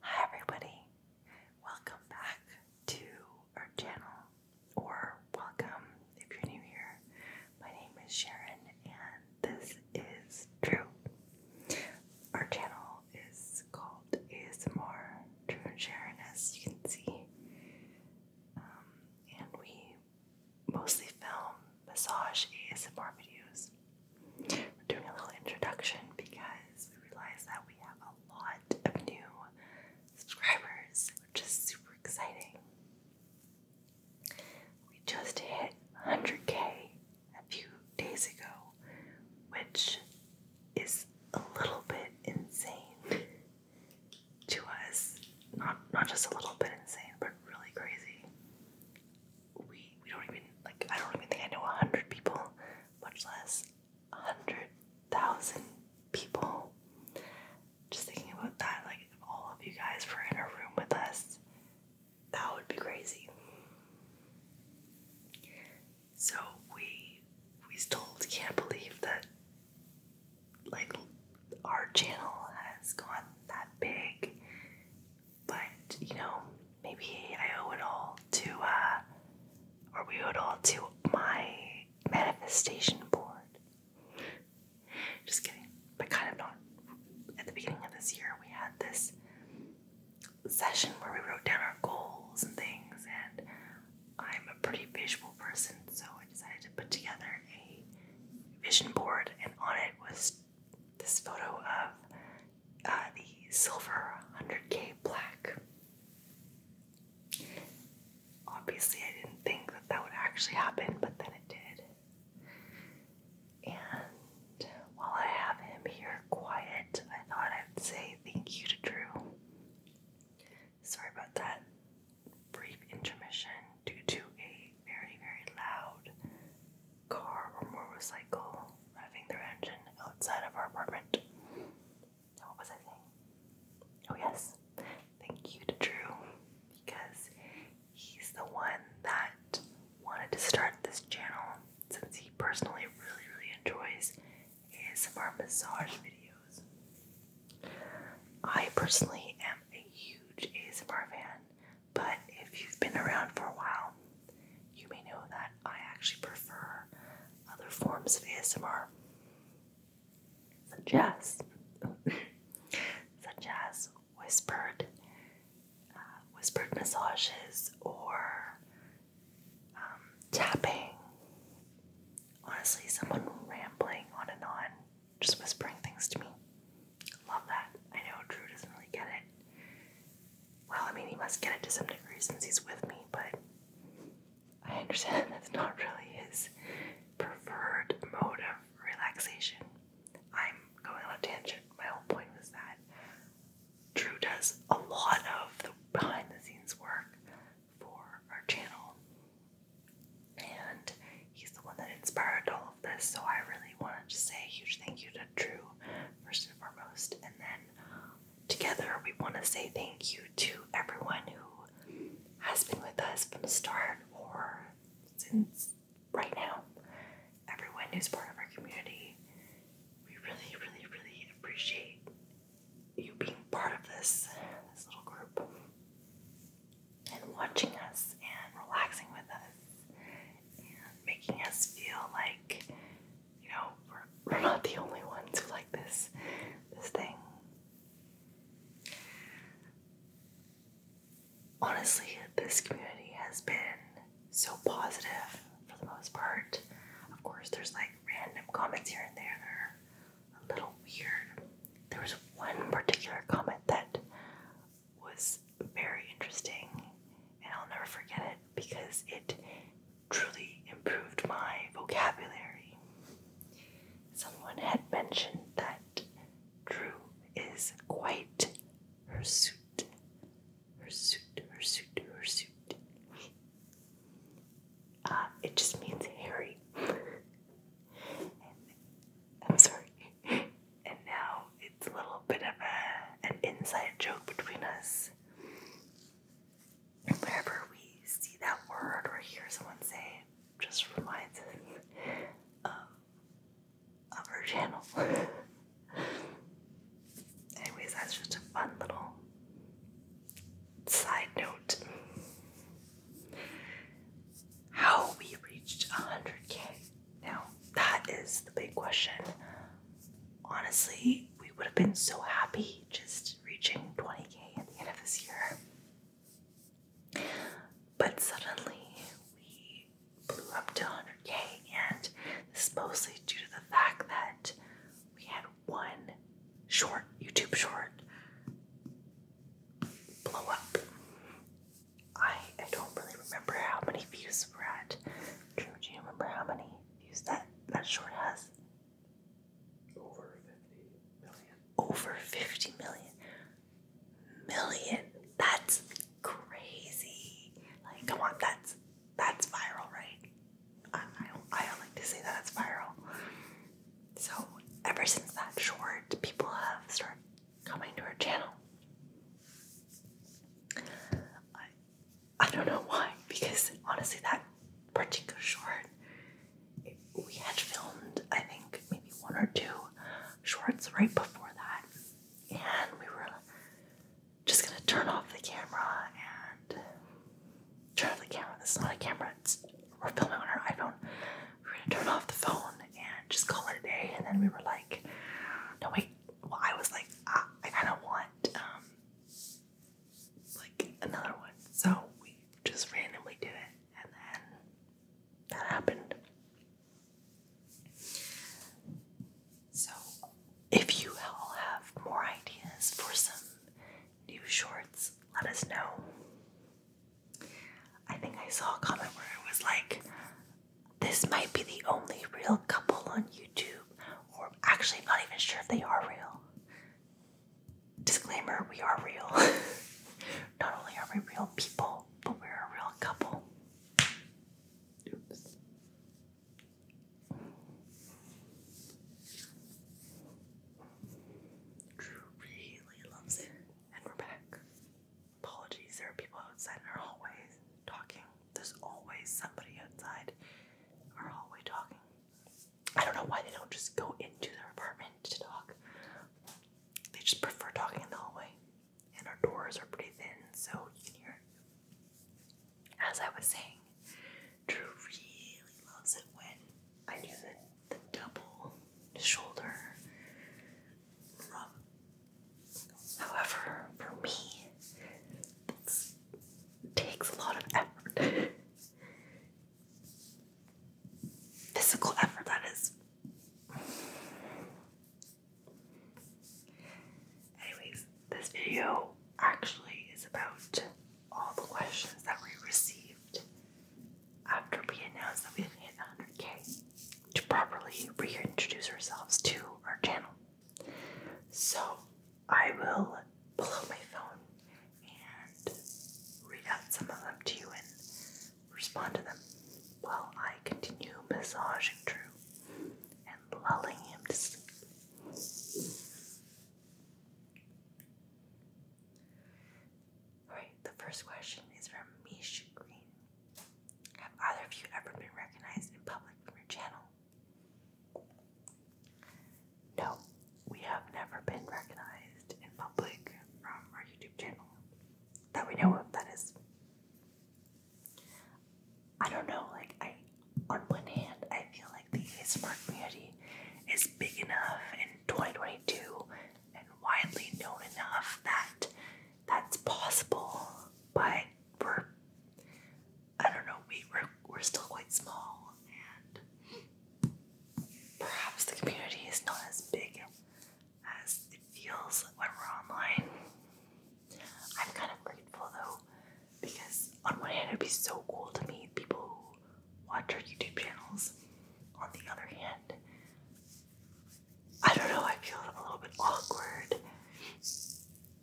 Hi everybody, welcome back to our channel, or welcome if you're new here. My name is Sharon, and this is True. Our channel is called ASMR True and Sharon, as you can see, um, and we mostly film massage ASMR videos we doing a little introduction because we realize that we have a lot of new subscribers, which is super exciting. We just hit 100k a few days ago, which is a little bit insane to us. Not not just a little bit insane, but really crazy we we don't even like I don't even think I know a hundred people, much less a hundred thousand people. Just thinking about that, like all of you guys were in a room with us, that would be crazy. So we we still can't believe that like our channel has gone that big but, you know, maybe I owe it all to, uh, or we owe it all to my manifestation board. Just kidding, but kind of not. At the beginning of this year, we had this session where we wrote down our goals and things, and I'm a pretty visual person, so I decided to put together a vision board, and on it was this photo of uh, the silver 100k black. Obviously, I didn't think that that would actually happen, but then it did. And while I have him here quiet, I thought I'd say thank you to Drew. Sorry about that brief intermission due to a very, very loud car or motorcycle revving their engine outside of our apartment. What was I saying? Oh, yes. Thank you to Drew because he's the one that wanted to start this channel since he personally really, really enjoys ASMR massage videos. I personally am a huge ASMR fan, but if you've been around for a while, you may know that I actually prefer other forms of ASMR, such as, such as whispered, uh, whispered massages or um, tapping. Honestly, someone rambling on and on, just whispering things to me. Love that. I know Drew doesn't really get it. Well, I mean, he must get it to some degree since he's with me, but I understand that's not really his preferred mode of relaxation. I'm going on a tangent. My whole point was that Drew does a lot of the behind the scenes work for our channel, and he's the one that inspired all of this, so I really want to just say a huge thank you to true, first and foremost. And then together, we want to say thank you to everyone who has been with us from the start or since right now. Everyone who's part of our community, we really, really, really appreciate you being part of this this little group and watching us and relaxing with us making us feel like, you know, we're, not the only ones who like this this thing. Honestly, this community has been so positive for the most part. Of course, there's like random comments here and there a little weird. There was one particular comment that was very interesting and I'll never forget it because it truly improved my vocabulary. Someone had mentioned that Drew is quite her her suit, hirsute, hirsute, hirsute, hirsute. Uh, it just means hairy. I'm sorry. And now it's a little bit of a an inside joke between us. Whenever we see that word or hear someone say just reminds us um, of, our channel. Anyways, that's just a fun little side note. How we reached 100k now, that is the big question. Honestly, we would have been so happy just reaching 20k at the end of this year. But suddenly, we blew up to 100k, and this is mostly due to the fact that we had one short YouTube short blow up. I, I don't really remember how many views we're at. Drew, do you remember how many views that that short has? Over fifty million. Over fifty That's crazy. Like, come on, that's that's viral, right? I I don't, like to say that it's viral. So ever since that short, people have started coming to our channel. I don't know why, because honestly, that particular short, we had filmed, I think, maybe one or two shorts right before that, and we were just gonna turn off the camera and turn off the camera. This is not a camera, we're filming on our iPhone. We are gonna turn off the phone and just call it a day, and then we were like, no, wait, well, I was like, ah, I, kind of want um, like another one. So we just randomly do it, and then that happened. So, if you all have more ideas for some new shorts, let us know. I think I saw a comment where it was like, this might be the only real couple on YouTube, or actually, not even sure if they are real. Disclaimer we are real. not only are we real people, but we're a real couple. Oops. Drew really loves it. And we're back. Apologies, there are people outside in our hallways talking. There's always somebody outside our hallway talking. I don't know why they don't just go into their apartment to talk. They just prefer talking in the hallway. And our doors are pretty thin, so you can hear it. As I was saying, Drew really loves it when I do the, double shoulder rub However, for me, this takes a lot of effort. Physical effort, that is. Anyways, this video actually is about all the questions that we received after we announced that we had hit 100k to properly reintroduce ourselves to our channel. So I will pull out my phone and read out some of them to you and respond to them while I continue massaging Drew and lulling him to sleep. Alright, the first question is from Mish Green. Have either of you ever been recognized in public from your channel? No, we have never been recognized in public from our YouTube channel that we know of, that is. I don't know, like, I, on one hand, I feel like the ASMR community is big enough in 2022 and widely known enough that that's possible, but we're I don't know, we we're, still quite small and perhaps the community is not as big as it feels when we're online. I'm kind of grateful though because on one hand it'd be so cool to meet people who watch our YouTube channels. On the other hand, I don't know, I feel a little bit awkward.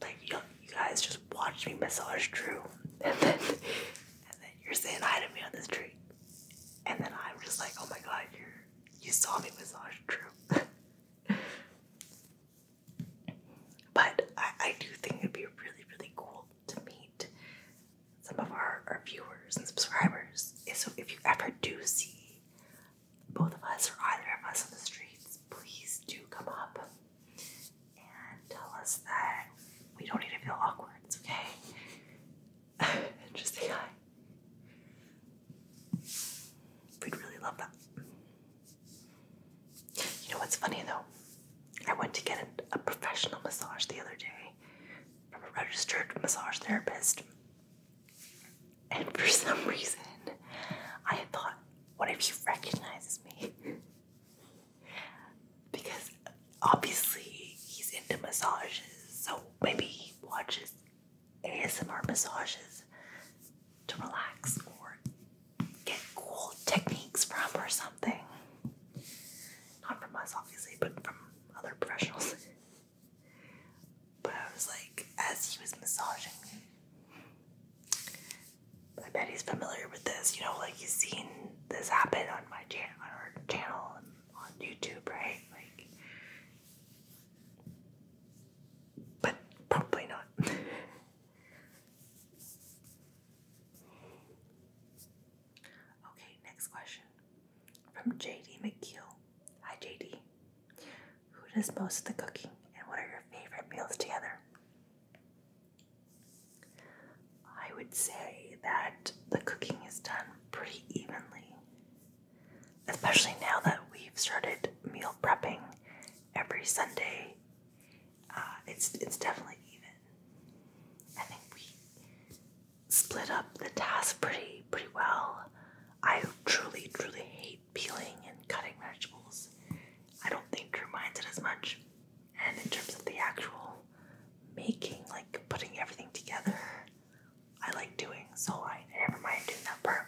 Like, you, you guys just watched me massage Drew, and then, and then you're saying hi to me on the street. And then I'm just like, oh my god, you're, you saw me massage Drew. but I, I do think it'd be really, really cool to meet some of our, our viewers and subscribers. So if you ever do see both of us or either of us on the streets, please do come up and tell us that we don't need to feel awkward. It's okay. Just say hi. We'd really love that. You know what's funny though? I went to get a, a professional massage the other day from a registered massage therapist. And for some reason, I thought, what if he recognizes me? because obviously he's into massages, so maybe he watches ASMR massages to relax or get cool techniques from or something. Not from us, obviously, but from other professionals. But I was like, as he was massaging me, I bet he's familiar with this. You know, like he's seen this happen on my channel, on our channel, on YouTube, right? Like, but probably not. Okay, next question from JD McKeel. Hi, JD. Who does most of the cooking? And what are your favorite meals together? I would say that the cooking is done pretty evenly. Especially now that we've started meal prepping every Sunday, uh, it's it's definitely even. I think we split up the tasks pretty pretty well. I truly truly hate peeling and cutting vegetables, I don't think Drew it as much. And in terms of the actual making, like putting everything together, I like doing, so I never mind doing that part.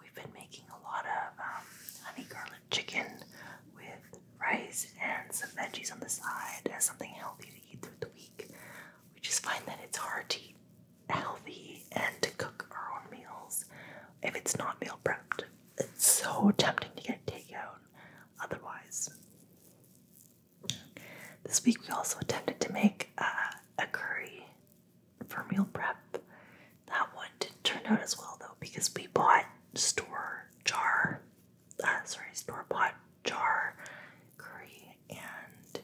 We've been making a lot of um, honey garlic chicken with rice and some veggies on the side as something healthy to eat through the week. We just find that it's hard to eat healthy and to cook our own meals if it's not meal prepped. It's so tempting to get takeout otherwise. This week we also attempted to make uh, a curry for meal prep. That one didn't turn out as well though because we bought store jar, uh, sorry, store bought jar curry and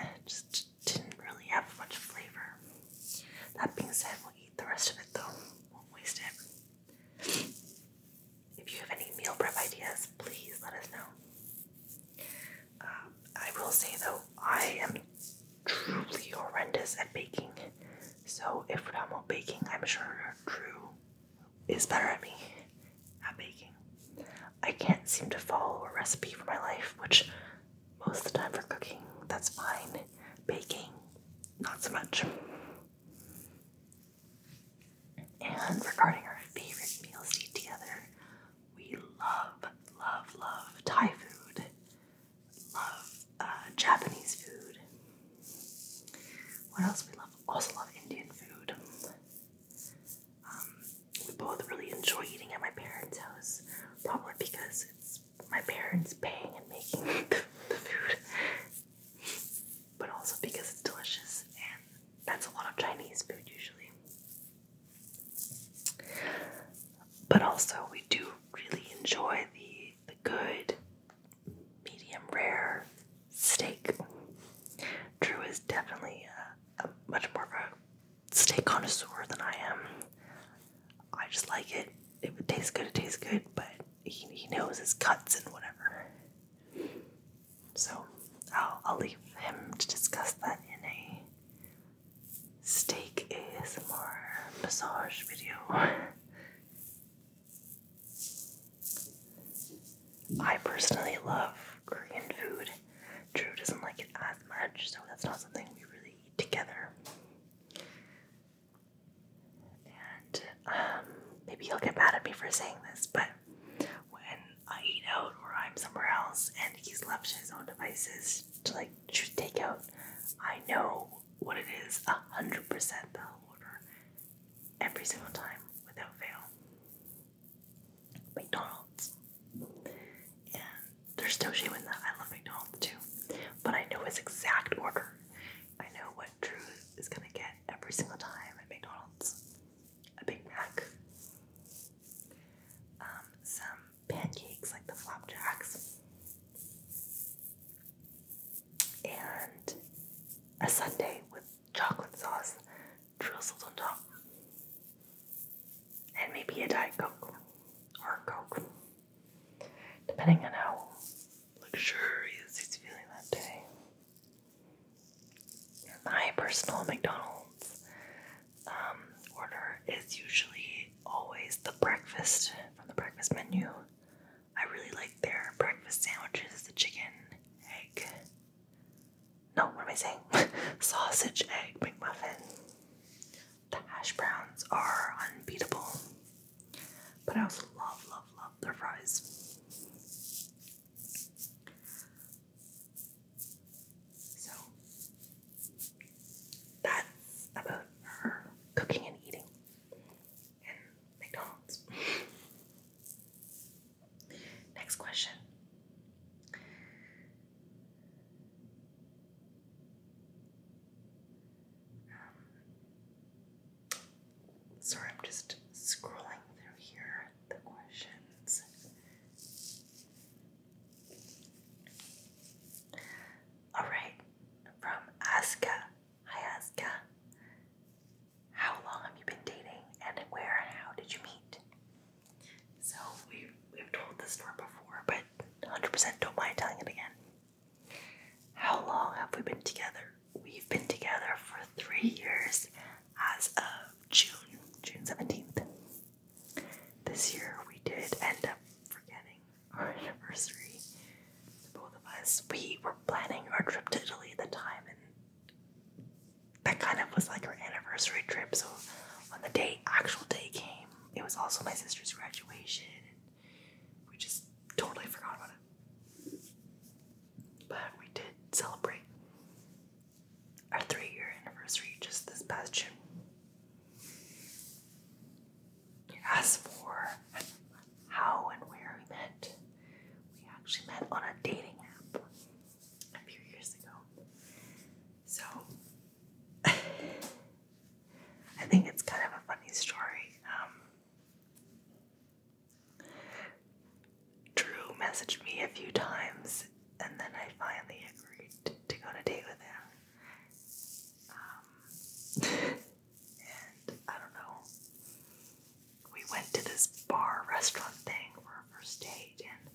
eh, just didn't really have much flavor. That being said, we'll eat the rest of it though. Won't waste it. If you have any meal prep ideas, please let us know. Um, I will say though, I am truly horrendous at baking. So if we're Ramo baking, I'm sure Drew is better at me at baking. I can't seem to follow a recipe for my life, which most of the time for cooking, that's fine. Baking, not so much. And regarding our favorite meals to eat together, we love, love, love Thai food, love uh, Japanese food. What else we love? Also love Indian food. Um, we both really enjoy eating at my parents' house. Probably because it's my parents paying and making the, food, but also because it's delicious, and that's a lot of Chinese food usually. But also, we do really enjoy the the good, medium rare steak. Drew is definitely a, a much more of a steak connoisseur than I am. I just like it. If it tastes good, it tastes good, but he, he knows his cuts and whatever. So I'll, I'll leave him to discuss that in a steak ASMR massage video. I personally love Korean food. Drew doesn't like it as much, so that's not something we really eat together. And um, maybe he'll get mad at me for saying this, but when I eat out or I'm somewhere else and he's left his own devices to like take out, I know what it is a hundred percent that order every single time without fail. McDonald's. And there's no shame in that. I love McDonald's too. But I know his exact order. I know what Drew is gonna get every single time at McDonald's. A Big Mac. Um, some pancakes like the flapjacks. And a sundae with chocolate sauce drizzled on top and maybe a Diet Coke or a Coke, depending on how luxurious he's feeling that day. My personal McDonald's um, order is usually always the breakfast from the breakfast menu. I really like their breakfast sandwiches, the chicken, egg, no, what am I saying? Sausage egg McMuffin. The hash browns are unbeatable. But I also love, love, love their fries. So that's about her cooking and eating in McDonald's. Next question. Um, sorry, I'm just scrolling through here the questions. All right, from Aska. Hi, Aska. How long have you been dating, and where and how did you meet? So we we've told this story before, but 100% don't mind telling it again. How long have we been together? We've been together for three years as of June, June 17th. This year we did end up forgetting our anniversary. Both of us, we were planning our trip to Italy at the time, and that kind of was like her anniversary trip. So when the day, actual day came, it was also my sister's graduation. we just totally forgot about it. But we did celebrate our three year anniversary just this past June. As for how and where we met, we actually met on a dating app a few years ago. So I think it's kind of a funny story. Um, Drew messaged me a few times, and then I finally agreed to, go on a date with him. Um, and I don't know. We went to this bar restaurant thing for our first date, and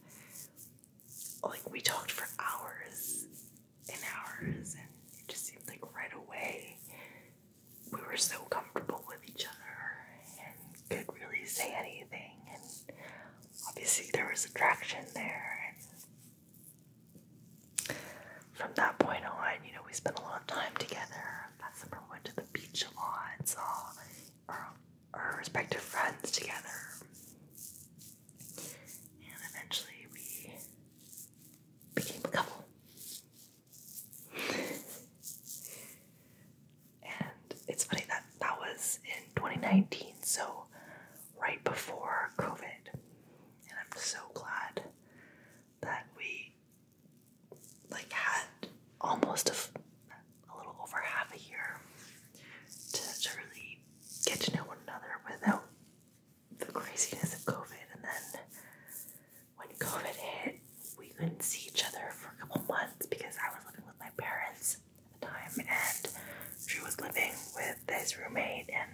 like we talked for hours and hours and it just seemed like right away we were so comfortable with each other and could really say anything and obviously there was attraction there and from that point on you know we spent a lot of time together i remember we went to the beach a lot and saw our, our respective friends together. And eventually we became a couple. and it's funny that that was in 2019, so right before COVID. And I'm so glad that we like had almost a a little over half a year to, really get to know one another without the craziness of COVID. And then when COVID hit, we couldn't see each other for a couple months because I was living with my parents at the time and she was living with his roommate and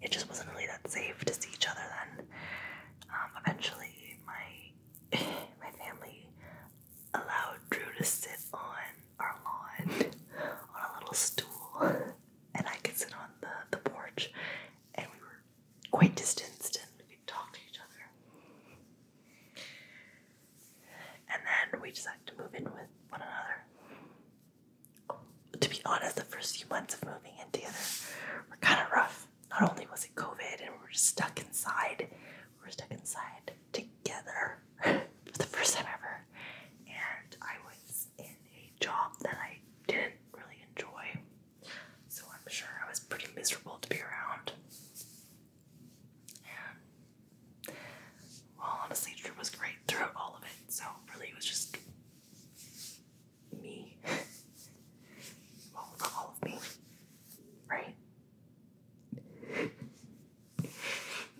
it just wasn't really that safe to see each other then. Um, eventually, my my family allowed Drew to sit on our lawn on a little stool, and I could sit on the, the porch, and we were quite distanced and we could talk to each other. And then we decided to move in with one another. To be honest, the first few months of moving in together were kind of rough. Not only was it COVID and we were stuck inside we're stuck inside together for the first time ever. And I was in a job that I didn't really enjoy. So I'm sure I was pretty miserable to be around. And well, honestly, Drew was great throughout all of it. So really, it was just me. well, all of me, right?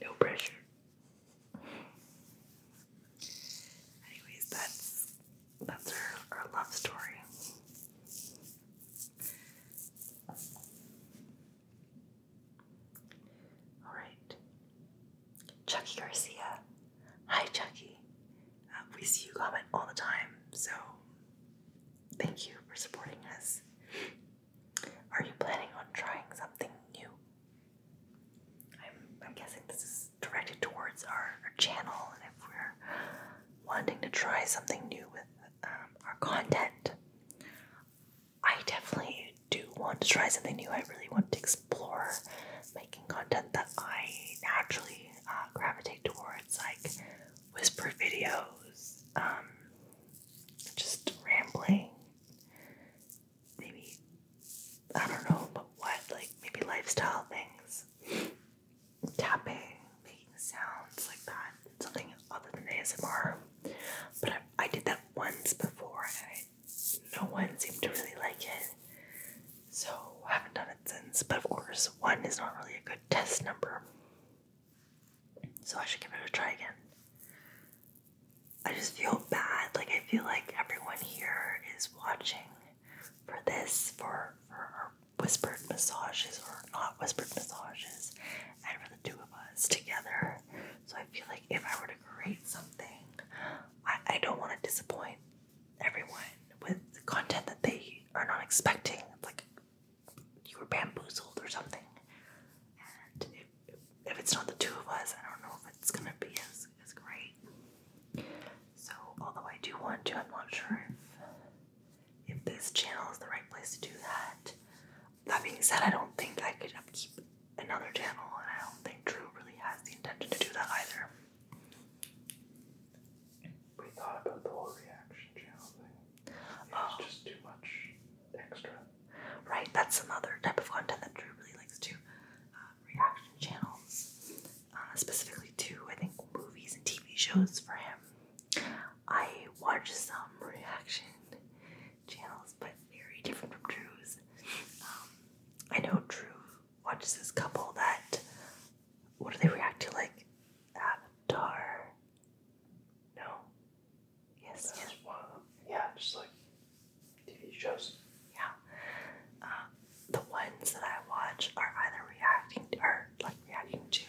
no pressure. Anyways, that's that's our, our love story. All right, Chucky Garcia. Hi, Chucky. Um, we see you comment all the time, so thank you for supporting us. Are you planning on trying something new? I'm, I'm guessing this is directed towards our, our channel, and if we're wanting to try something new with um, our content, I definitely do want to try something new. I really want to explore making content that I naturally uh, gravitate towards, like whisper videos, um, just rambling. Maybe, I don't know, but what? Like maybe lifestyle things. Tapping, making sounds like that. Something other than ASMR. But I, did that once before and no one seemed to really like it. So I haven't done it since. But of course, one is not really a good test number. So I should give it a try again. I just feel bad. Like I feel like everyone here is watching for this, for for our whispered massages or not whispered massages, and for the two of us together. So I feel like if I were to create something, I, I don't want to disappoint everyone with the content that they are not expecting. Like you were bamboozled or something. And if, if it's not the two of us, I don't know if it's gonna be as, as great. So, although I do want to, I'm not sure if, if this channel is the right place to do that. That being said, I don't think I could upkeep another channel, and I don't think Drew really has the intention to do that either. We thought about the whole reaction channel thing. Oh. Right, that's another type of content that Drew really likes to uh, reaction channels, uh, specifically to I think movies and TV shows for him. I watch some reaction channels, but very different from Drew's. Um, I know Drew watches this couple that what do they react to like Avatar no. Yes. That Yeah, just like TV shows. Yeah. Uh, the ones that I watch are either reacting or like reacting to,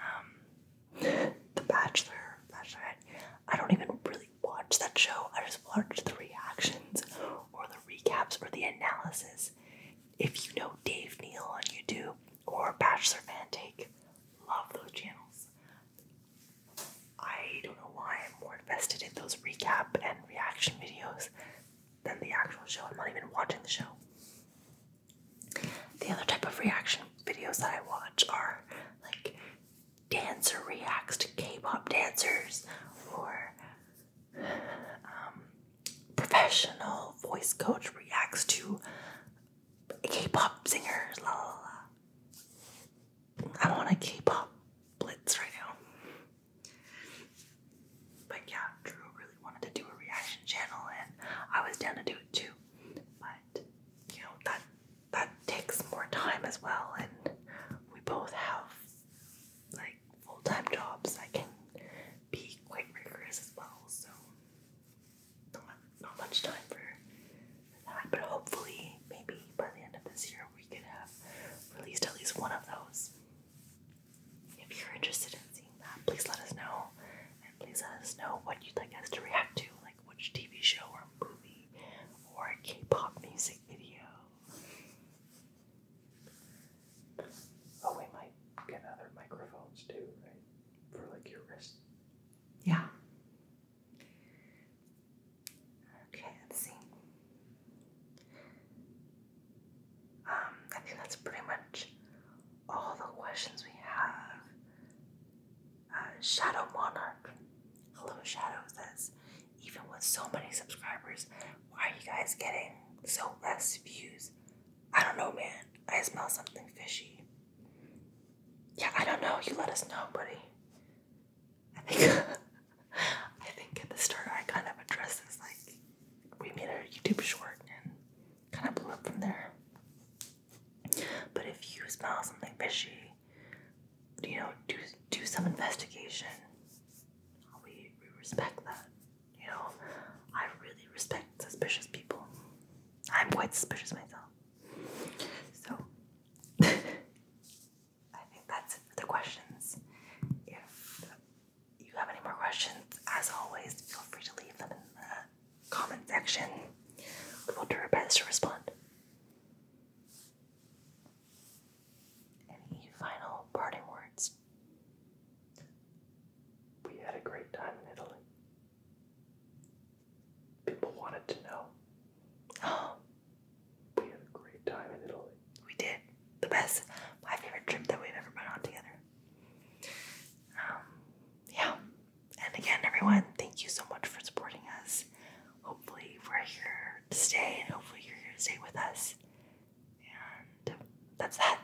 um, The Bachelor, Bachelorette. I don't even really watch that show. I just watch the reactions or the recaps or the analysis. If you know Dave Neal on YouTube or Bachelor Fan Take, love those channels. I don't know why I'm more invested in those recap and reaction videos than the actual show. I'm not even watching the show. The other type of reaction videos that I watch are like dancer reacts to K pop dancers or um, professional voice coach reacts to K-pop singers, la la la. I'm a K-pop blitz right now. But yeah, Drew really wanted to do a reaction channel, and I was down to do it too. But you know that that takes more time as well, and we both have like full-time jobs that can be quite rigorous as well. So not, not much time for that, but hopefully, maybe by the end of this year, we could have released at least one of those. If you're interested in seeing that, please let us know, and please let us know what you'd like us to react to, like which TV show or movie or K-pop music video. Oh, we might get other microphones too, right? For like your wrist yeah. Okay, let's see. Um, I think that's pretty much all the questions we have. Uh, Shadow Monarch. Hello, Shadow says, even with so many subscribers, why are you guys getting so less views? I don't know, man. I smell something fishy. Yeah, I don't know. You let us know, buddy. I think I think at the start I kind of addressed this like we made a YouTube short and kind of blew up from there. But if you smell something fishy, you know, do do some investigation. We we respect that. You know, I really respect suspicious people. I'm quite suspicious myself. So I think that's it for the questions. If you have any more questions, as always, feel free to leave them in the comment section. We will do our best to respond. Any final parting words? We had a great time in Italy. People wanted to know. we had a great time in Italy. We did. The best, my favorite trip that we've ever been on together. Um, yeah. And again, everyone, thank you so much for supporting us. Hopefully, we're here to stay, and hopefully, you're going to stay with us. And that's that.